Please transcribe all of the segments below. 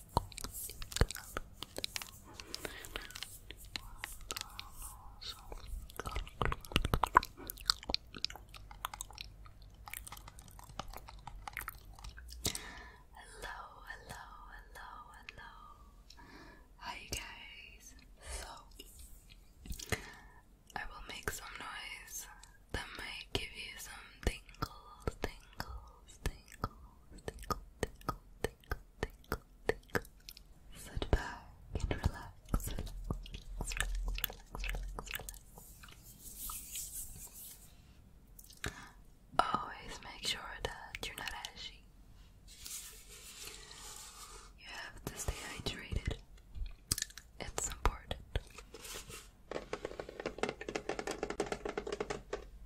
Hello, hello, hello, hello. Hi, you guys. So, I will make some noise that might give you some tingles, tingles, tingles, tingles, tingles, tingles. Sit back and relax, relax. Always make sure that you're not ashy. You have to stay hydrated. It's important.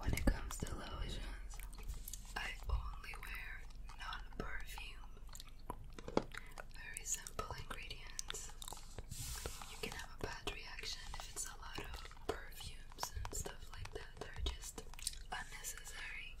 When it comes to lotions, I only wear non-perfume. Very simple ingredients. You can have a bad reaction if it's a lot of perfumes and stuff like that. They're just unnecessary.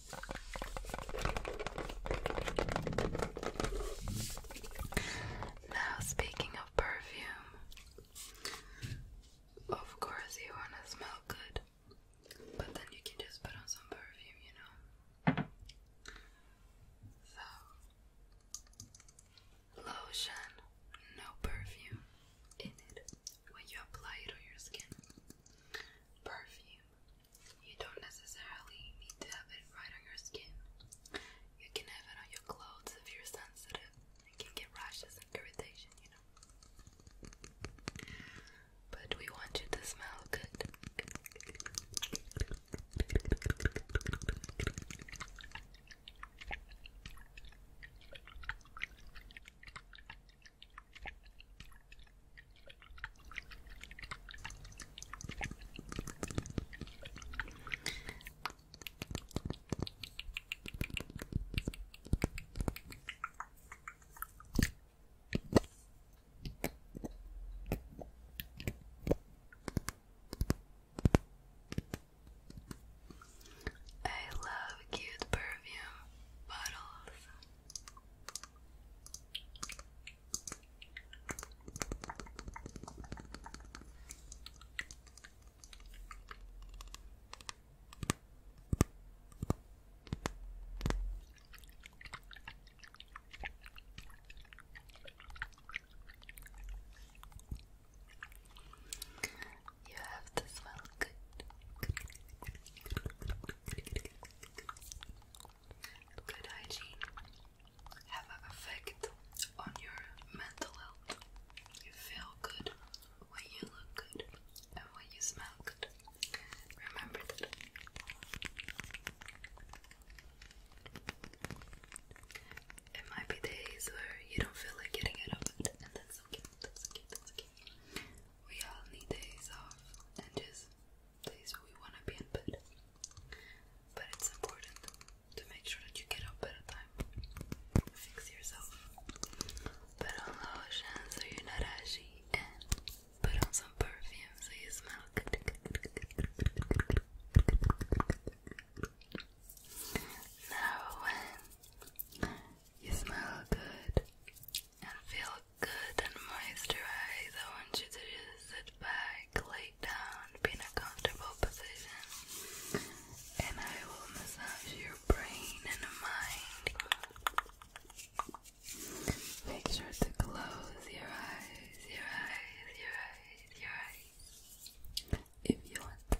Now, speaking of perfume, of course, you want to smell good, but then you can just put on some perfume, you know. So, lotion, no perfume in it when you apply it on your skin. Perfume, you don't necessarily need to have it right on your skin. You can have it on your clothes if you're sensitive and can get rashes and irritation, you know. But we want you to smell good. I love cute perfume bottles. You have to smell good. Good hygiene have an effect on your mental health. You feel good when you look good and when you smell good. Remember that. It might be days where you don't feel like getting out of and that's okay. That's okay. That's okay we all need days off and just days where we wanna be in bed. But it's important to make sure that you get up at a time. Fix yourself. Put on lotion so you're not ashy and put on some perfume so you smell good. Now when you smell good and feel good and moisturized, I want you to sit back, lay down, be in a comfortable position, and I will massage your brain and mind. Make sure to close your eyes, your eyes, your eyes, your eyes, if you want.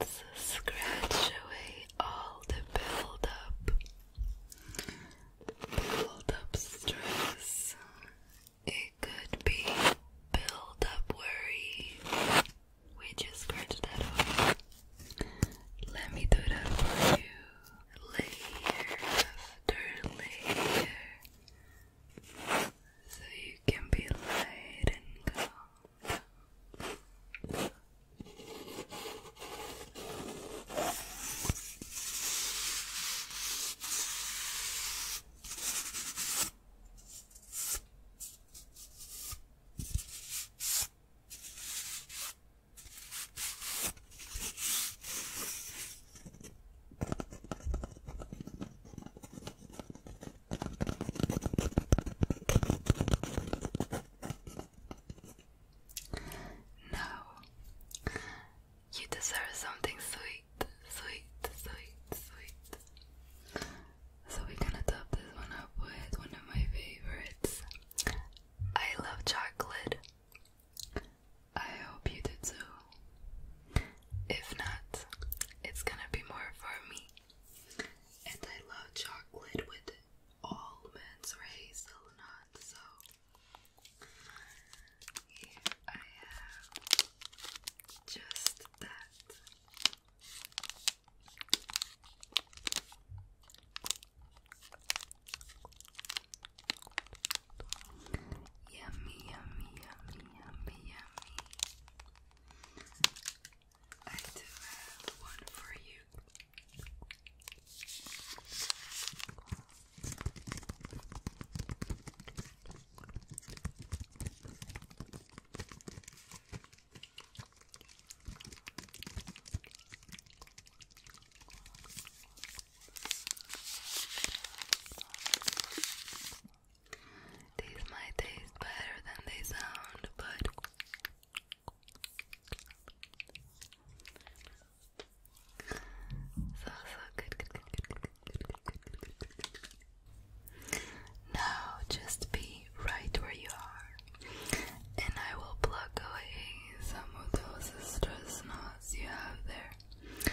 Let's scratch away all the build up. Build up stress. It could be build up worry. We just scratched that off. Let me do that for you. Layer after layer so you can be light and calm. No, you deserve something sweet, sweet, sweet, sweet. So, we're gonna top this one up with one of my favorites. I love chocolate. I hope you did too. If not, it's gonna be more for me. And I love chocolate with almonds, hazelnut, so here I have just that. Yummy, yummy, yummy, yummy, yummy. I do have one for you. These might taste better than they sound, but so so good, Now just be right where you are, and I will pluck away some of those stress knots you have there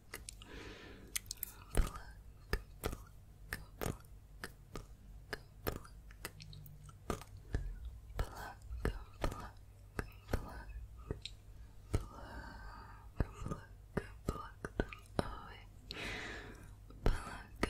pluck, pluck, pluck, pluck, pluck, pluck, pluck. Pluck, pluck, pluck them away. Pluck them away. Pluck, pluck, pluck, pluck,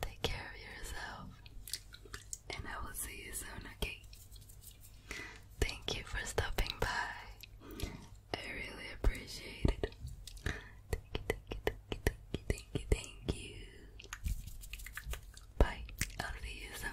Take care of yourself. And I will see you soon, okay? Thank you for stopping by. I really appreciate it. Thank you, thank you, thank you, thank you, Bye. I'll see you soon.